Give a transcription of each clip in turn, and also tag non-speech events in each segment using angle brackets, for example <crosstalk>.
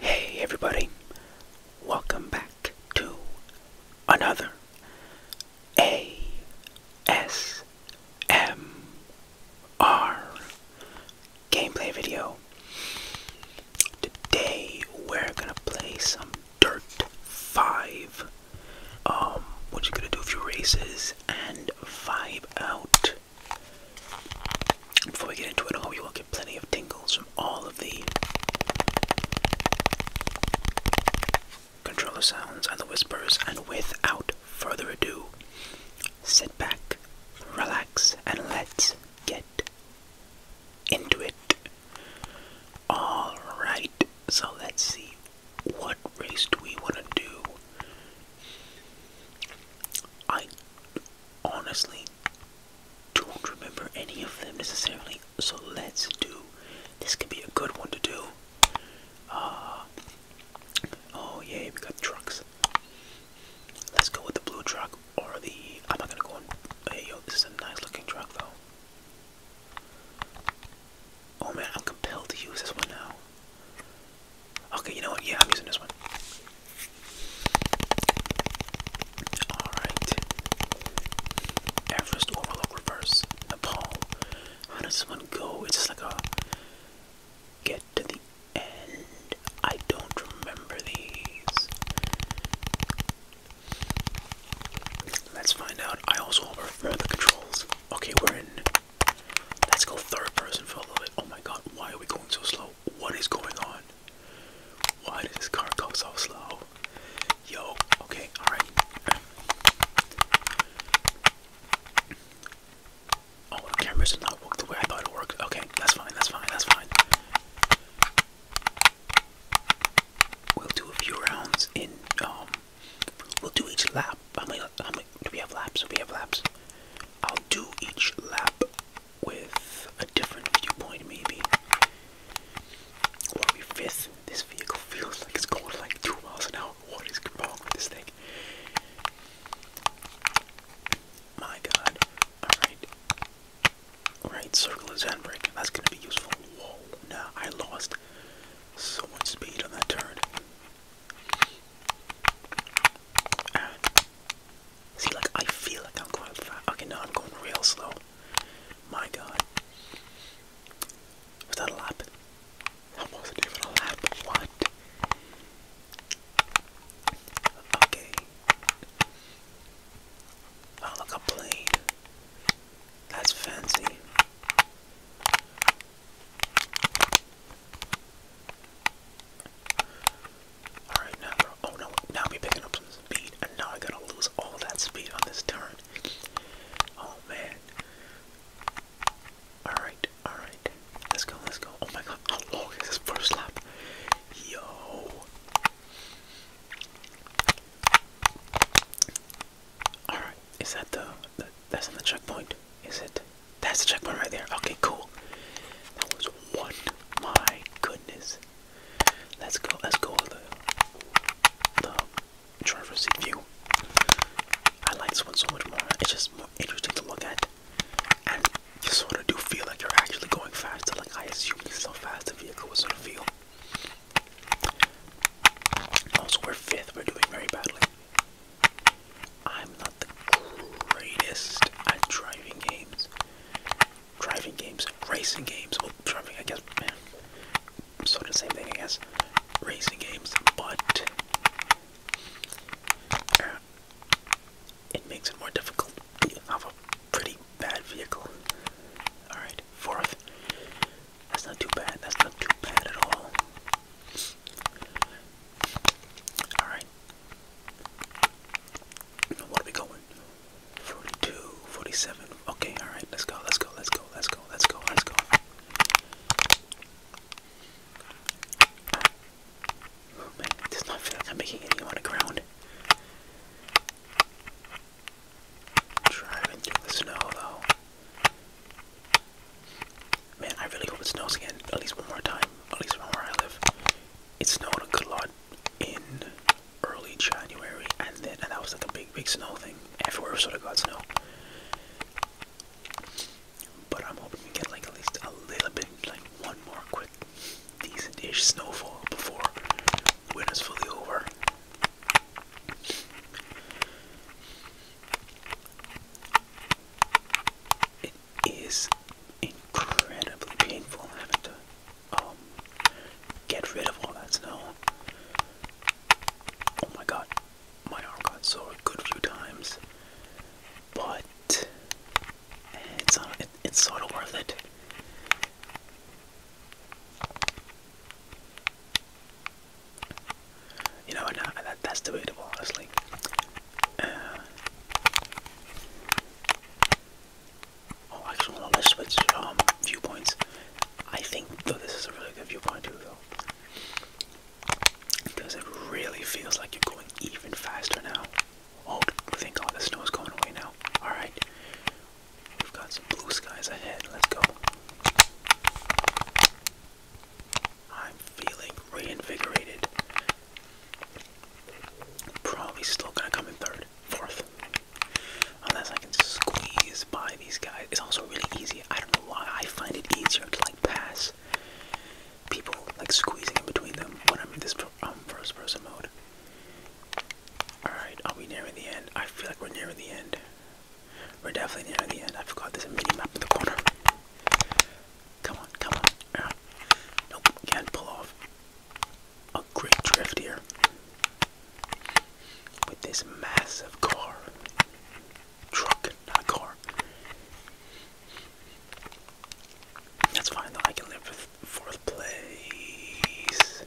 Hey everybody, welcome back to another ASMR gameplay video. Today we're gonna play some Dirt 5. Um, what you gonna do a few races and vibe out. Before we get into it, I hope you will get plenty of tingles from all of the controller sounds and the whispers, and without further ado, sit back, relax, and let's get into it. Alright, so let's see. What race do we want to do? I honestly don't remember any of them necessarily, so let's do. This could be a good one to do. Uh, oh, yeah, we got trucks. Let's go with the blue truck or the. I'm not gonna go on. Hey yo, this is a nice looking truck though. Oh man, I'm compelled to use this one now. Okay, you know what? Yeah, I'm using this one. Alright. Everest Overlook Reverse, Nepal. How does this one go? It's just like a. Get to the end. I don't remember these. Let's find out. I also will the controls. Okay, we're in. Let's go third person for a little bit. Oh my god, why are we going so slow? What is going on? Why does this car go so slow? Yo, okay, alright. Oh, the cameras did not work the way I thought it worked. Okay, that's fine, that's fine, that's fine. We'll do a few rounds in, um, we'll do each lap. How many, how many, do we have laps? we have laps? I'll do each lap with a different viewpoint, maybe. What are we fifth? This vehicle feels like it's going like two miles an hour. What is going on with this thing? My god. Alright. Right, circle is handbrake. That's gonna be useful. Whoa, now I lost so much speed on that turn. See, like, I feel like I'm going fast. Okay, now I'm going real slow. My god. Was that a lap? That wasn't even a lap. What? Okay. Oh, look, a plane. That's fancy. Alright, now oh no, now we're picking up some speed, and now I gotta lose all that speed on this turn. Oh man. Alright, Alright, Let's go, let's go. Oh my god, how oh, oh, long is this first lap? Yo. Alright, is that the, the that's on the checkpoint? Is it? That's the checkpoint right there. Okay, cool. That was one. My goodness. Let's go. Let's go with the the driver's view. I like this one so much more. It's just more interesting to look at and you sort of do feel like you're actually going faster. Like I assume this is how fast the vehicle was sort of feel. Also, we're fifth. We're doing very badly. I'm not the greatest at driving games. Driving games, racing games. Well, driving, I guess, man. Sort of the same thing, I guess. Racing games, but. Uh, it makes it more difficult to have a pretty bad vehicle. Alright, fourth. That's not too bad. That's not too bad at all. Alright. What are we going? 42, Okay, alright, let's go, let's go, let's go, let's go, let's go, let's go. Oh man, it does not feel like I'm making any on the ground. Driving through the snow though. Man, I really hope it snows again, at least one more time, at least from where I live. It snowed a good lot in early January, and then and that was like a big, big snow thing. Everywhere sort of got snow. But I'm hoping we get like at least a little bit, like one more quick, decent-ish snowfall before winter's fully over. It is incredibly painful having to um, get rid of all that snow. Oh my god, my arm got sore a good few times, but eh, it's sort of worth it. You know, that's debatable, honestly. Uh, oh, actually, well, let's switch um, viewpoints. I think, though, this is a really good viewpoint, too, though because it really feels like you're going even faster now. Oh, I think all the snow is going away now. Alright, we've got some blue skies ahead. Let's go. I'm feeling reinvigorated. Probably still gonna come in third, fourth. Unless I can squeeze by these guys. It's also really easy. I don't know why I find it easier to like pass people like squeezing in between them when I'm in this I'm um, first person mode. Alright, are we nearing the end? I feel like we're nearing the end. We're definitely nearing the end. I forgot there's a mini map in the corner. Come on, come on. Yeah. Uh, nope, can't pull off. A great drift here. With this massive car. Truck, not car. That's fine I can live with fourth place.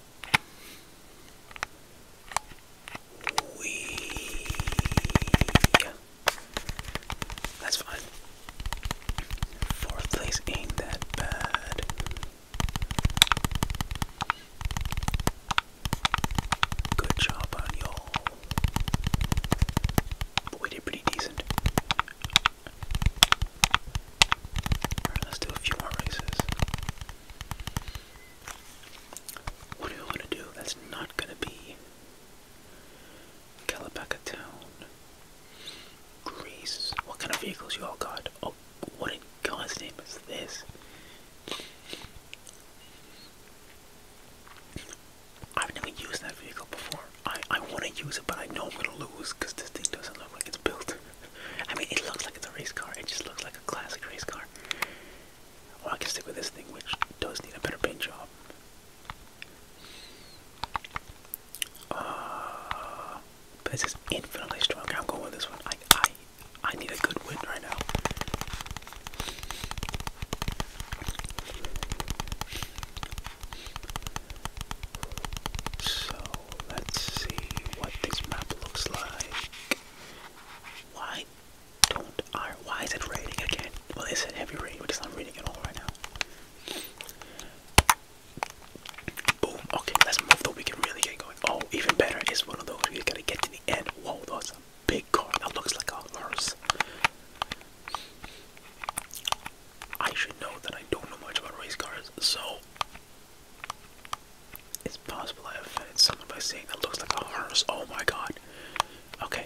We. That's fine. Fourth place ain't that bad. Good job on y'all. We did pretty decent. let's do a few more races. What do we want to do? That's not going to be Calabacca Town. Greece. What kind of vehicles you all got? Oh, what in God's name is this? I've never used that vehicle before. I, I want to use it, but I know I'm going to lose because this thing doesn't look like it's built. <laughs> I mean, it looks like it's a race car. It just looks like a classic race car. Or I can stick with this thing, which does need a better paint job. but uh, it's is infinitely strong. I'm going with this one. I, I, I need a good win right now. So let's see what this map looks like. Why don't I? Why is it raining again? Well, it's a heavy rain, but it's not raining at all right now. Boom. Okay, let's move though. We can really get going. Oh, even better is one of those. You gotta get to the end. Whoa, awesome big car that looks like a horse. I should know that I don't know much about race cars, so it's possible I offended someone by that looks like a horse. Oh my god. Okay.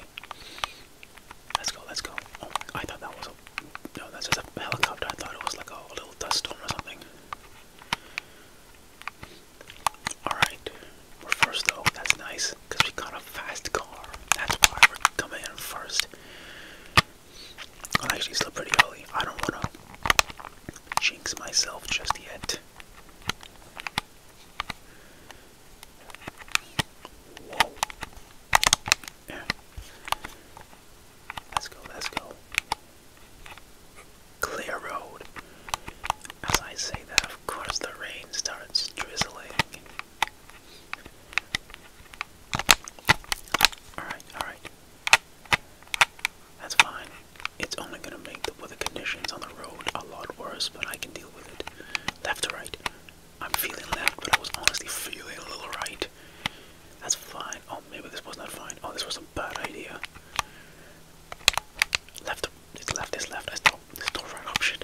Let's go, let's go. Oh I thought that was a. No, that's just a helicopter. I thought it was like a little dust storm or something. Alright, we're first though. That's nice because we got a fast car. That's why we're coming in first. I'm actually still pretty early. I don't want to jinx myself just yet. Let's go, let's go clear road. As I say that, of course, the rain starts drizzling. Alright, alright. That's fine. It's only gonna make the weather conditions on the road a lot worse, but I can deal with it. Left to right. I'm feeling left, but I was honestly feeling a little right. That's fine. Oh, maybe this was not fine. Oh, this was a bad idea. Left to it's left, it's left. That's not, that's not right option.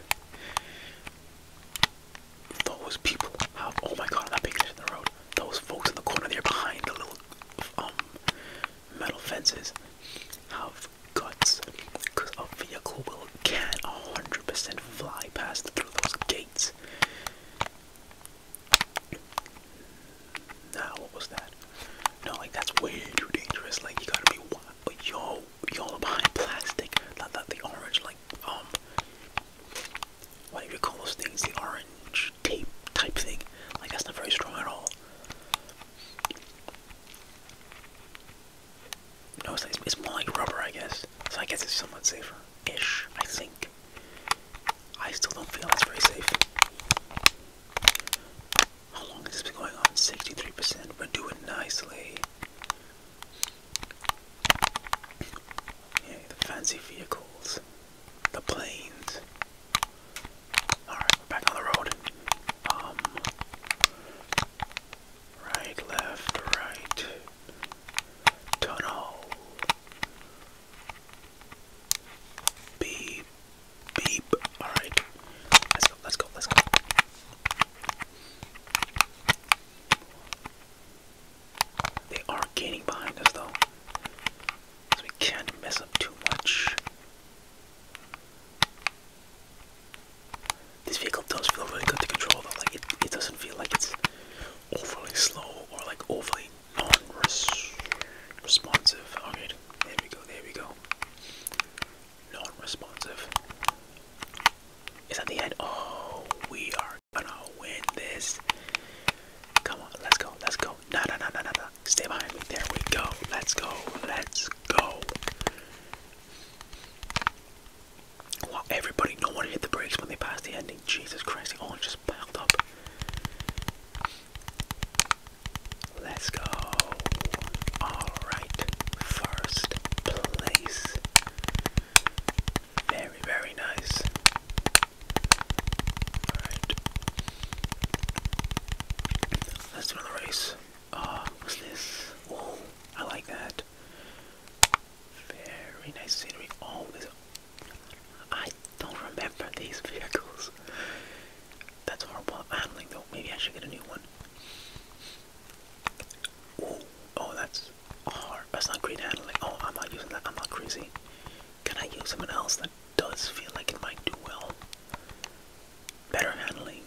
Those people have, oh my god, that big shit in the road. Those folks in the corner there behind the little um, metal fences have guts. Because a vehicle will can 100% fly past through those gates. Nah, what was that? No, like that's way too dangerous. Like you gotta be like yo, y'all behind plastic. Not that the orange, like um, what do you call those things? The orange tape type thing. Like that's not very strong at all. No, it's, it's more like rubber, I guess. So I guess it's somewhat safer, ish. I think. I still don't feel it's very safe. How long this been going on? 63%. We're doing nicely. Yeah, the fancy vehicles. The planes. Alright, back on the road. Um Right, left, right. Tunnel. Beep. Beep. Alright. Let's go, let's go, let's go. They are gaining behind us though. we can't mess up too much. This vehicle does feel really good to control though. Like it, it doesn't feel like it's overly slow or like overly non-responsive. okay, oh, there we go. There we go. Non-responsive. Is that the end? Oh, we are gonna win this. Come on, let's go. Let's go. No, no, no, no, no, no. Stay behind There we go. Let's go. Let's go. everybody, no one hit the brakes when they passed the ending. Jesus Christ, they all just piled up. Let's go. Alright, first place. Very, very nice. Alright. Let's run the race. Uh, what's this? Oh, I like that. Very nice scenery. Oh, I don't remember these vehicles. That's horrible handling though. Maybe I should get a new one. Ooh, oh, that's hard. That's not great handling. Oh, I'm not using that. I'm not crazy. Can I use someone else that does feel like it might do well? Better handling,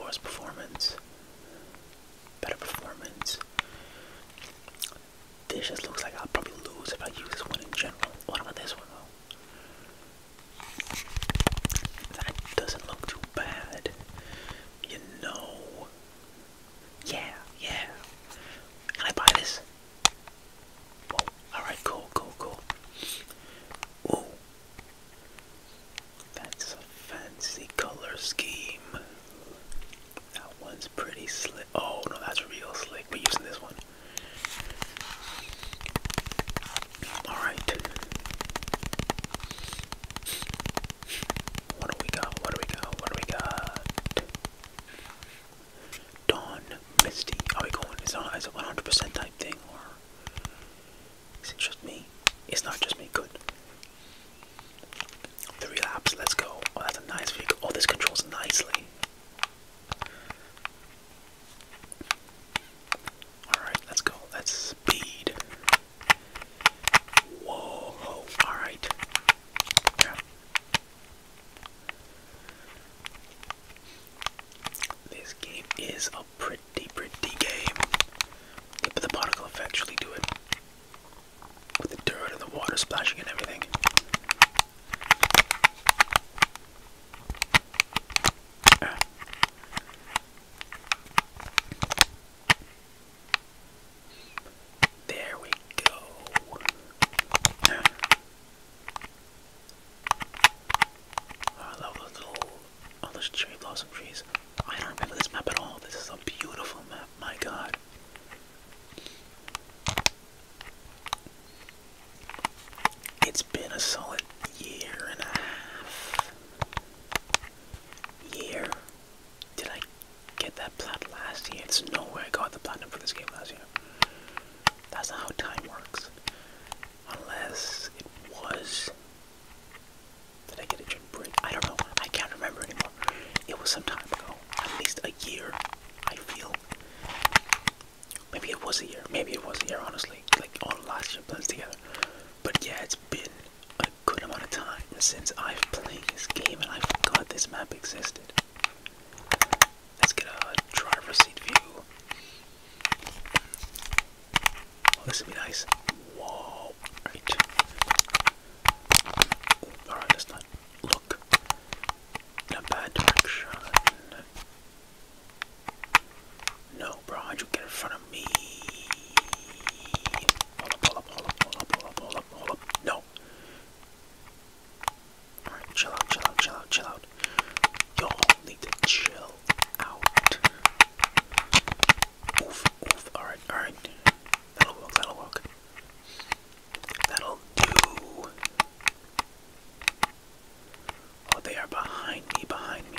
worse performance, better performance. This just looks like I'll probably lose if I use this one in general. What about this one that doesn't look too bad. You know. Yeah, yeah. Can I buy this? alright, cool, cool, cool. Ooh. That's a fancy color scheme. That one's pretty slick. Oh, no, that's real slick. We're using this one. Alright. What do we got? What do we got? What do we got? Dawn Misty. Are we going? Is it a 100% type thing or is it just me? It's not just me. Good. The relapse. Let's go. Oh, that's a nice vehicle. Oh, this controls nicely. Alright, let's go. Let's speed. Whoa, alright. Yeah. This game is a pretty, pretty game. But the particle effects really do it. With the dirt and the water splashing and everything. There we go. Ah, I love those little, all those cherry blossom trees. I don't remember this map at all. This is a beautiful map. My God. It's been a solid year and a half. Year. Did I get that plat last year? It's no way I got the platinum for this game last year. That's not how time works. Unless it was. Did I get a gym break? I don't know. I can't remember anymore. It was some time ago. At least a year. I feel Maybe it was a year. Maybe it was a year, honestly. Like all last year blends together. But yeah, it's been a good amount of time since I've played this game and I forgot this map existed. Let's get a driver's seat view. Oh, this would be nice. Whoa. Alright. Alright, let not in a bad direction. No, bro, how'd you get in front of me? hold up, hold up, hold up, hold up, hold up, hold up. No. Alright, chill out, chill out, chill out, chill out. Y'all need to chill out. Oof, oof, alright, alright. That'll work, that'll work. That'll do. Oh, they are behind me, behind me.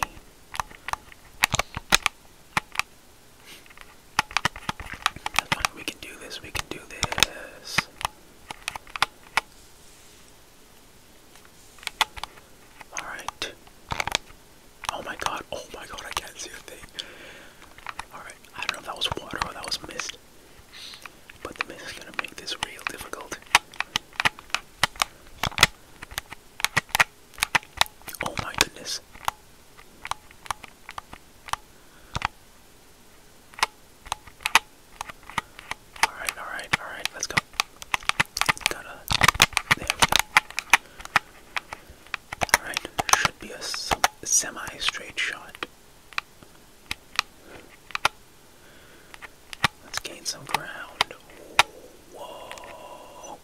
we can do this, we can do this. Alright. Oh my god, oh my god, I can't see a thing. Alright, I don't know if that was water or that was mist. But the mist is going to make this real difficult. Oh my goodness. Alright, alright, alright, let's go. Gotta. There Alright, should be a semi straight shot. Let's gain some ground. Whoa.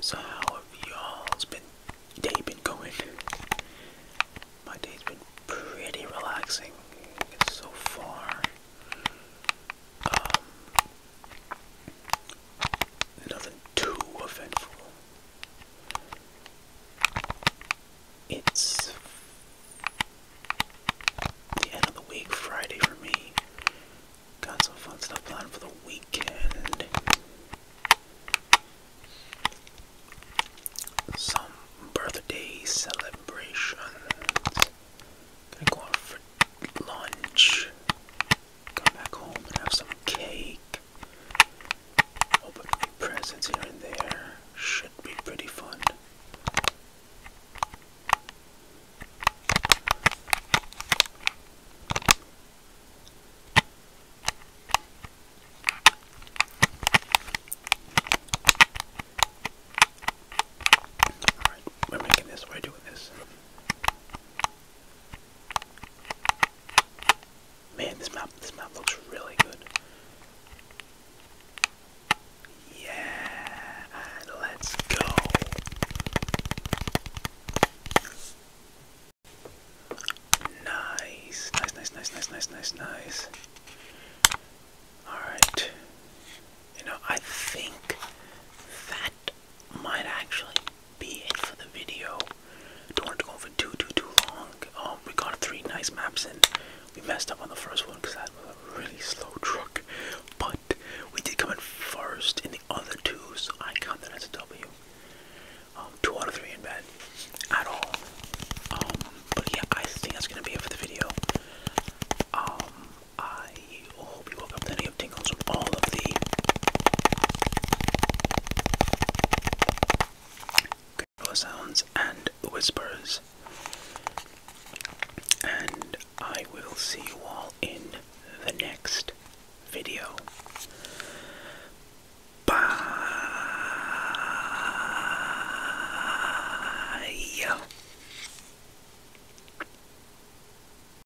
So how have y'all's been day been going? My day's been pretty relaxing so far. Um, nothing too eventful. It's the end of the week, Friday for me. Got some fun stuff planned for the weekend. Some birthday celebration. going out for lunch. Come back home and have some cake up. Opening presents here and there should be pretty fun. Alright, we're making this, we're doing this. Man, this map this map looks really good. Yeah, let's go. Nice, nice, nice, nice, nice, nice, nice, nice. All right. You know, I think that might actually be it for the video. Don't want to go for too too too long. Um, we got three nice maps and we messed up on the first one because that was a really slow truck. But we did come in first in the other two, so I count that as a W. Um, two out of three in bed at all. Um, but yeah, I think that's gonna be it for the video. I I all of the gurgle sounds and whispers. And I will see you all in the next video. Bye.